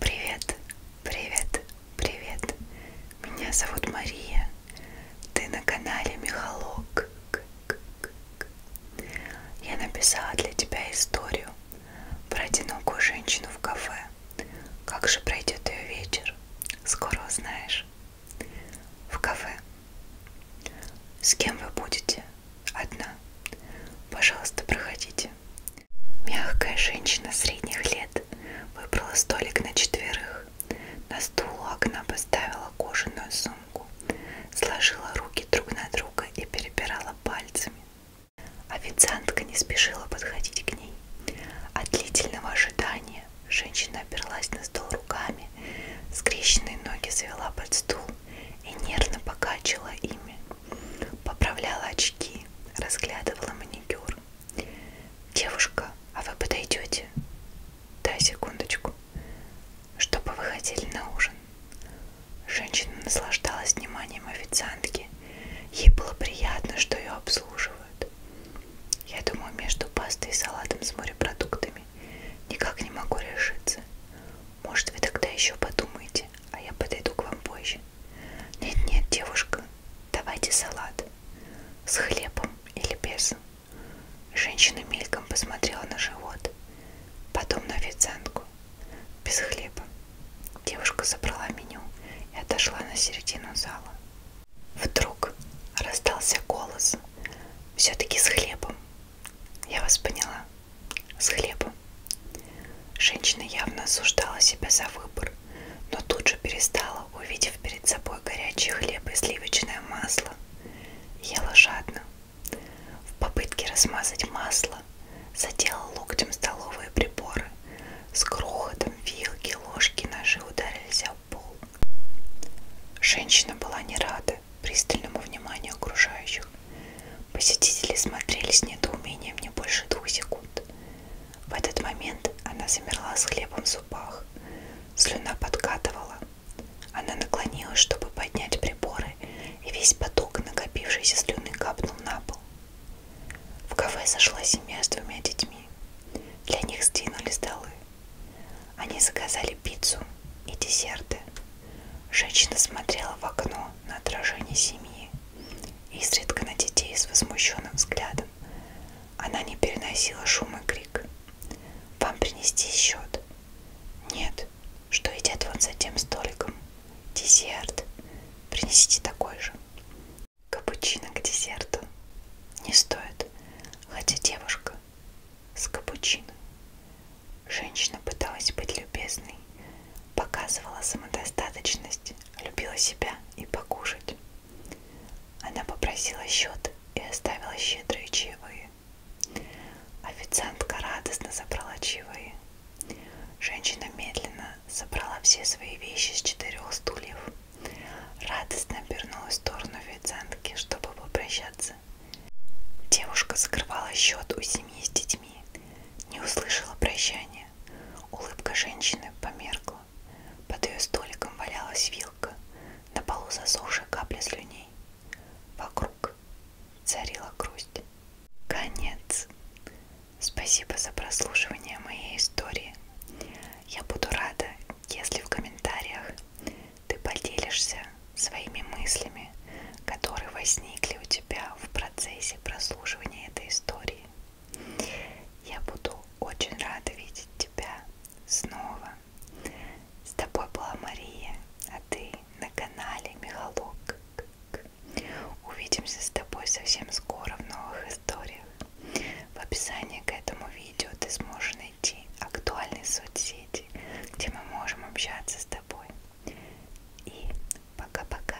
Привет, привет, привет. Меня зовут Мария. Ты на канале Михалок. Я написала для тебя историю про одинокую женщину в кафе. Как же пройдет ее вечер? Скоро узнаешь. В кафе. С кем вы будете? Одна. Пожалуйста, проходите. Мягкая женщина средних лет выбрала столик на четверых. На стул у окна поставила кожаную сумку, сложила руки друг на друга и перебирала пальцами. Официантка не спешила подходить к ней. От длительного ожидания женщина оперлась на стол руками, скрещенные ноги завела под стул и нервно покачала ими. Поправляла очки, разглядывала маникюр. «Девушка, а вы подойдете?» «Дай секундочку. Чтобы вы хотели на ужин?» Женщина наслаждалась вниманием официантки. Ей было приятно, что ее обслуживают. Я думаю, между пастой и салатом с морепродуктами никак не могу решиться. Может, вы тогда еще подумаете, а я подойду к вам позже. Нет-нет, девушка, давайте салат. С хлебом или без. Женщина мельком посмотрела на живот, потом на официантку. Без хлеба. Девушка забрала меню и отошла на середину зала. Вдруг раздался голос. Все-таки с хлебом. Я вас поняла. С хлебом работу. Женщина явно осуждала себя за выбор, но тут же перестала, увидев перед собой горячий хлеб и сливочное масло. Ела жадно. В попытке размазать масло задела локтем столовые приборы. С крохотом вилки, ложки, ножи ударились об пол. Женщина была не рада пристальному вниманию окружающих. Посетители смотрели с недоумением не больше двух секунд. В этот момент она замерла с хлебом в зубах. Слюна подкатывала. Она наклонилась, чтобы поднять приборы, и весь поток накопившейся слюны капнул на пол. В кафе сошла семья с двумя детьми. Для них сдвинули столы. Они заказали пиццу и десерты. Женщина смотрела в окно на отражение семьи изредка на детей с возмущенным взглядом. Она не переносила шум и крик. «Вам принести счет?» «Нет. Что едят вон за тем столиком?» «Десерт. Принесите такой же». «Капучино к десерту?» «Не стоит. Хотя девушка с капучино». Женщина пыталась быть любезной, показывала самодостаточность, любила себя и покушать. Она попросила счет и оставила щедрые чаевые. Официантка радостно забрала чаевые. Женщина медленно собрала все свои вещи с четырех стульев. Радостно обернулась в сторону официантки, чтобы попрощаться. Девушка закрывала счет у семьи с детьми, не услышала прощания мгновение улыбка женщины померкла. Под ее столиком валялась вилка, на полу засохшая капля слюней. Вокруг царила грусть. Конец. Спасибо за прослушивание моей истории. Я буду рада, если в комментариях ты поделишься своими мыслями, которые возникли у тебя в процессе прослушивания этой истории. Я буду очень рада видеть тебя снова. С тобой была Мария, а ты на канале Михалок. Увидимся с тобой совсем скоро в новых историях. В описании к этому видео ты сможешь найти актуальные соцсети, где мы можем общаться с тобой. И пока-пока.